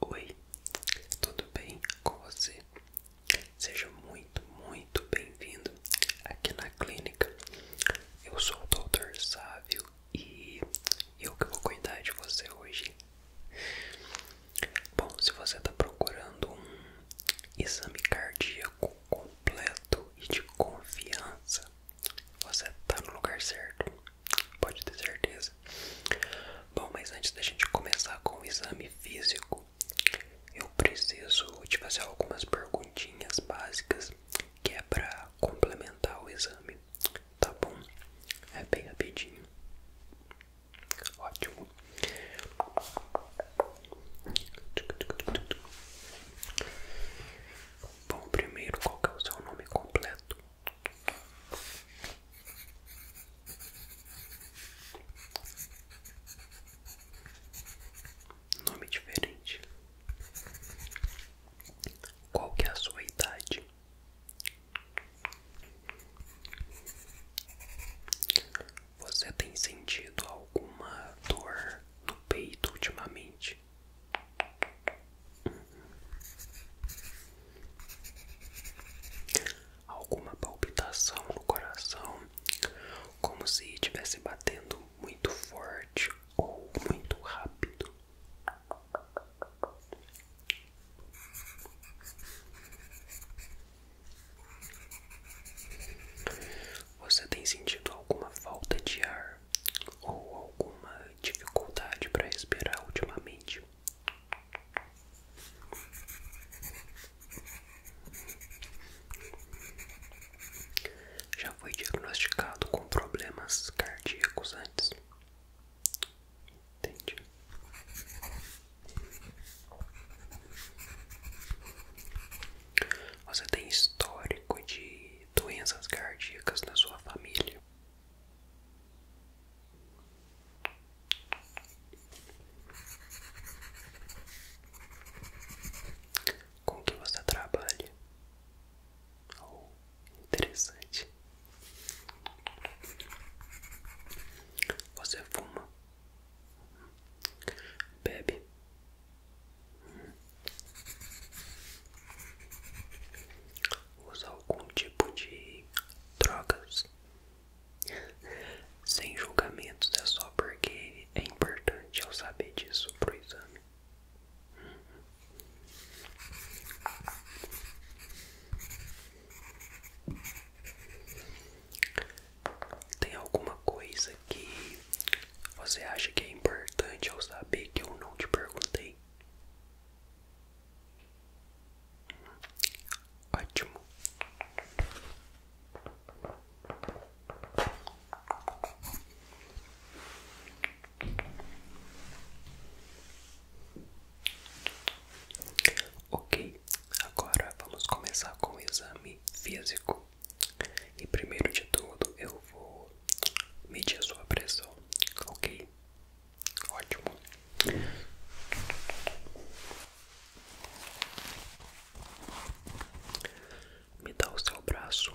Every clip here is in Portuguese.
Oi, tudo bem com você? Seja muito, muito bem-vindo aqui na clínica. Eu sou o Dr. Sávio e eu que vou cuidar de você hoje. Bom, se você está procurando um exame cardíaco completo e de confiança, você tá no lugar certo, pode ter certeza. Bom, mas antes da gente começar com o exame físico, eu preciso te fazer algumas perguntinhas básicas que é para complementar o exame, tá bom? É bem rapidinho. Ótimo. Bom, primeiro, qual é o seu nome completo? Nome diferente. Qual é a sua idade? Você tem sentido alguma dor no peito ultimamente? Alguma palpitação no coração, como se estivesse batendo muito forte ou muito rápido. Você tem sentido alguma falta de ar? ou alguma dificuldade para respirar ultimamente? Já foi diagnosticado com problemas cardíacos antes? Entendi. Você tem histórico de doenças cardíacas na sua família. Com que você trabalha? Oh, interessante. Você fuma? Bebe? usar algum tipo de drogas. Sem julgamentos, é só porque é importante eu saber disso pro exame. Tem alguma coisa que você acha que é importante eu saber que eu não te perguntei? Ótimo. Ok, agora vamos começar com o exame físico. E primeiro de tudo eu vou medir a sua pressão, ok? Ótimo. Me dá o seu braço.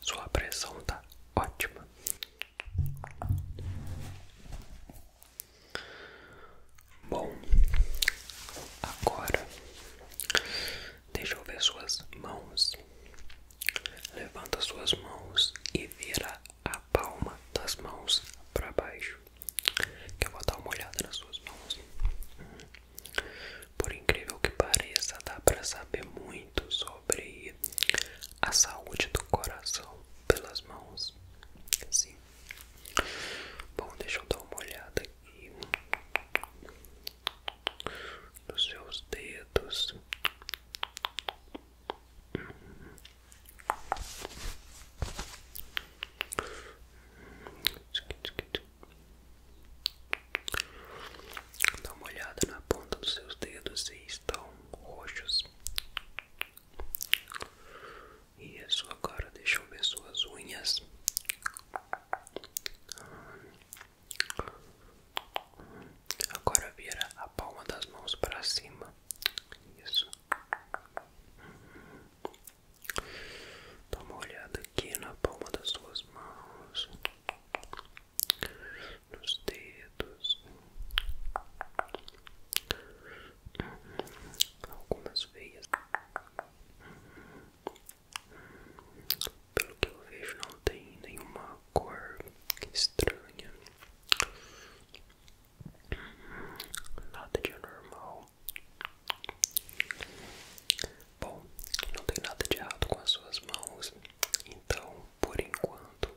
Sua pressão tá ótima. Bom, agora Deixa eu ver suas mãos. Levanta suas mãos e vira a palma das mãos para baixo. Que eu vou dar uma olhada nas suas mãos. Por incrível que pareça, dá para saber muito sobre a saúde do coração pelas mãos. Sim. Bom, deixa eu dar uma olhada e nos seus dedos. Dá uma olhada na ponta dos seus dedos se estão roxos. Isso, é agora deixa eu ver suas unhas. Agora vira a palma das mãos para cima. Isso. Dá uma olhada aqui na palma das suas mãos, nos dedos, algumas veias. Pelo que eu vejo, não tem nenhuma cor estranha, nada de anormal. Bom, não tem nada de errado com as suas mãos, então por enquanto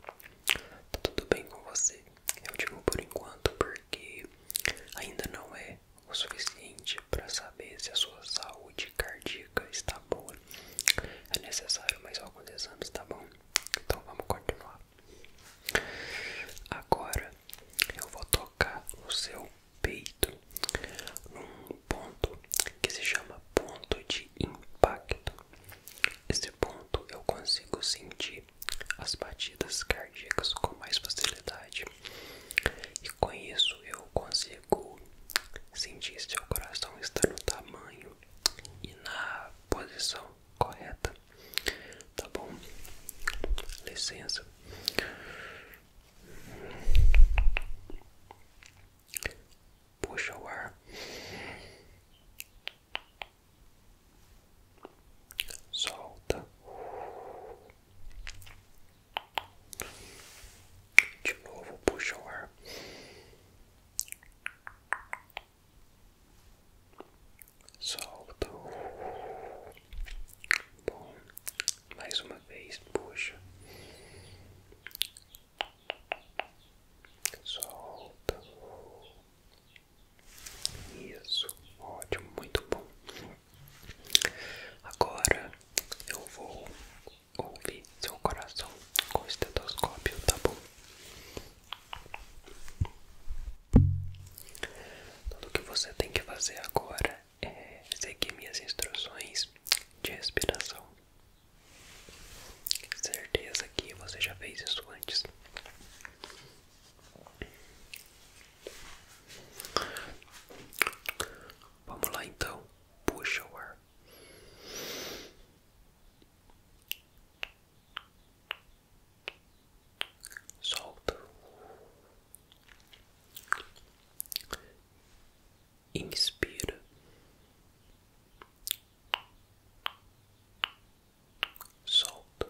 tá tudo bem com você. Eu digo por enquanto porque ainda não é o suficiente para saber se a sua saúde cardíaca está boa. É necessário mais alguns exames, tá bom? Então vamos continuar. Agora eu vou tocar o seu peito num ponto que se chama ponto de impacto. Esse ponto eu consigo sentir as batidas cardíacas com mais facilidade. E com isso eu consigo sentir se o coração está no tamanho e na posição correta. Tá bom? Licença. Puxa o ar. Solta. De novo, puxa o ar. Solta. Bom, mais uma vez, puxa. Solta. Isso, ótimo, muito bom. Agora eu vou ouvir seu coração com o estetoscópio, tá bom? Tudo que você tem que fazer agora é seguir minhas instruções de respiração. Certeza que você já fez isso antes. Vamos lá então, puxa o ar. Solta. Inspira. Solta.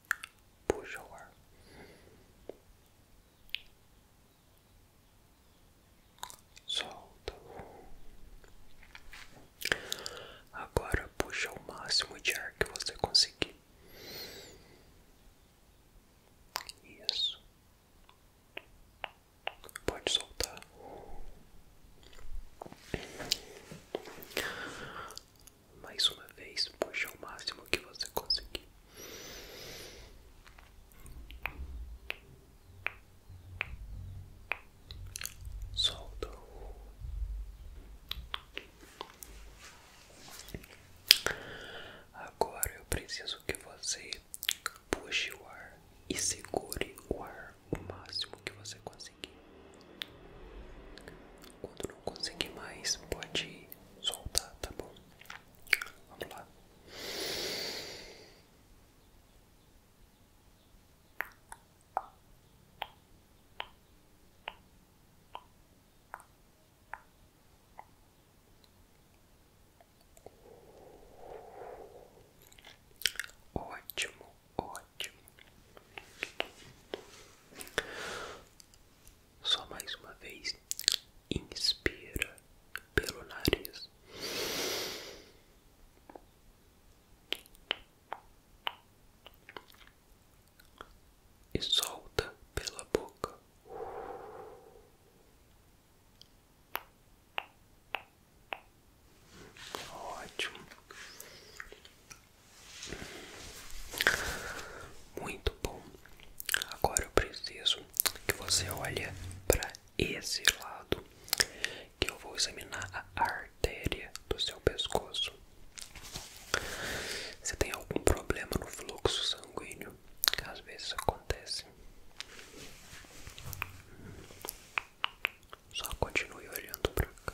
puxa o ar. Solta. Agora puxa o máximo de ar que você conseguir. Isso. Pode soltar mais uma vez, puxa o máximo que você conseguir. Solta o Agora eu preciso que você puxe o ar e segure o ar o máximo que você conseguir. Quando não conseguir mais, pode soltar, tá bom? Vamos lá. Ótimo. Ótimo. Só mais uma vez. Inspira pelo nariz. E solta pela boca. Ótimo. Muito bom. Agora eu preciso que você olhe para esse lado, que eu vou examinar a artéria do seu pescoço. Você tem algum problema no fluxo sanguíneo? Às vezes acontece. Só continue olhando para cá.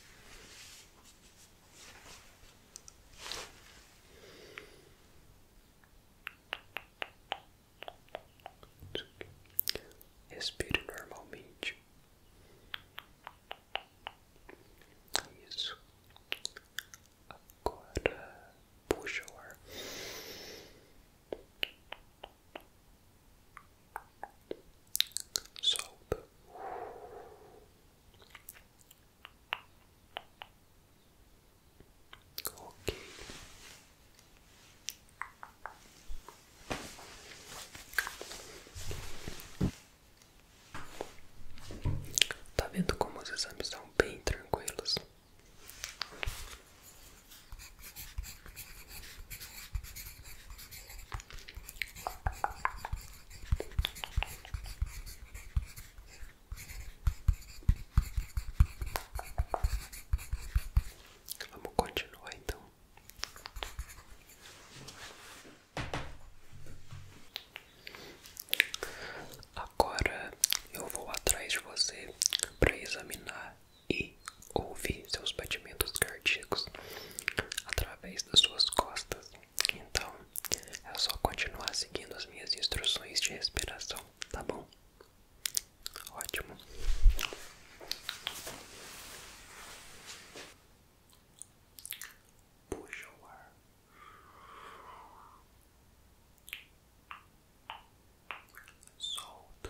Respire normalmente. Isso. Agora puxa o ar solta. Ok. Tá vendo como os exames são bem tranquilos? Vamos continuar então. Agora eu vou atrás de você para examinar e ouvir seus batimentos cardíacos através das suas costas. Então, é só continuar seguindo as minhas instruções de respiração, tá bom? Ótimo. Puxa o ar. Solta.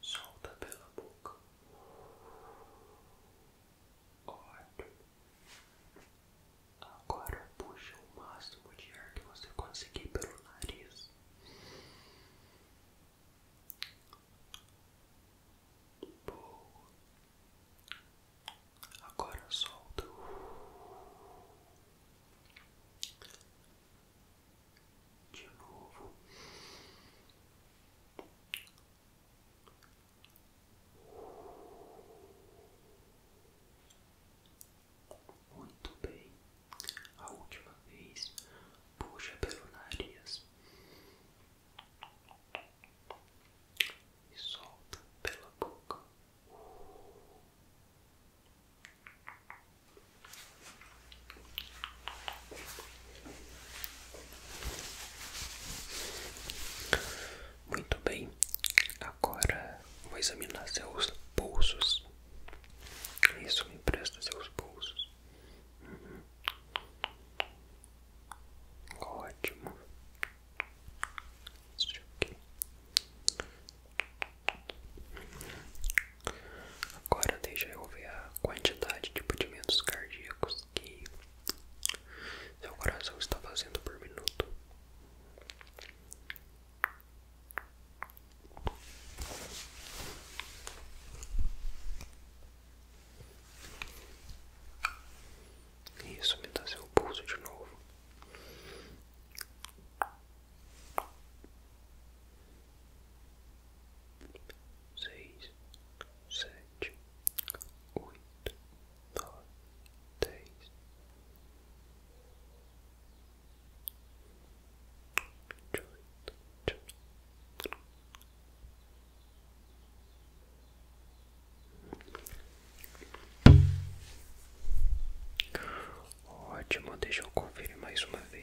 solta pela boca. Ótimo. Agora puxa o máximo de ar que você conseguir pelo nariz. Boa. Agora solta de novo. Muito bem, a última vez puxa pelo nariz e solta pela boca. Muito bem, agora vou examinar seus pulsos. Isso me presta seus pulsos. Uhum. Ótimo. Isso aqui. Agora deixa eu ver a quantidade de batimentos cardíacos que seu coração está fazendo por minuto. Isso me dá seu pulso de novo seis, sete, oito, nove, dez, dezoito, Ótimo, deixa eu conferir mais uma vez.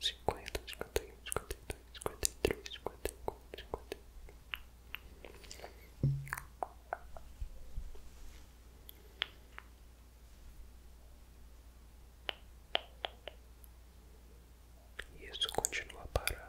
cinquenta, cinquenta e um, cinquenta e dois, cinquenta e três, cinquenta e quatro, cinquenta e e isso continua parado.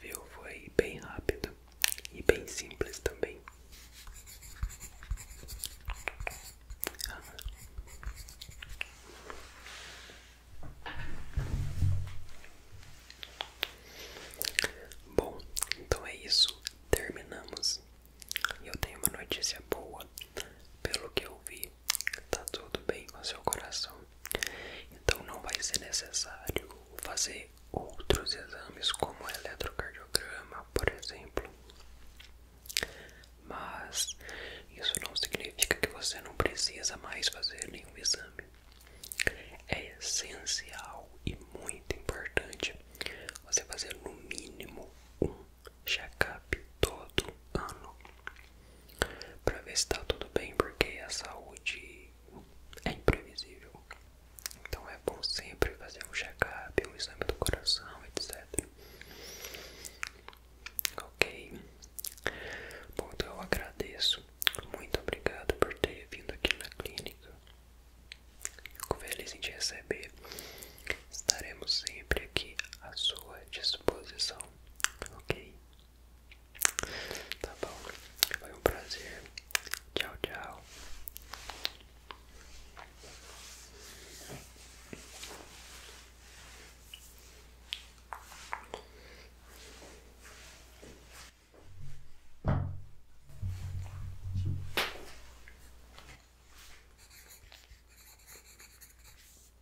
Viu? Foi bem rápido e bem simples também. Bom, então é isso. Terminamos. Eu tenho uma notícia boa. Pelo que eu vi, que tá tudo bem com seu coração. Então não vai ser necessário fazer outros exames como o eletrocardiograma, por exemplo. Mas isso não significa que você não precisa mais fazer nenhum exame. É essencial e muito importante você fazer no mínimo um check-up todo ano para ver se está tudo bem, porque a saúde é imprevisível. Então é bom sempre fazer um check-up, um exame do coração, etc. Ok? Bom, então eu agradeço. Muito obrigado por ter vindo aqui na clínica. Fico feliz em te receber. Estaremos sempre aqui à sua disposição, ok? Tá bom, foi um prazer. Tchau, tchau.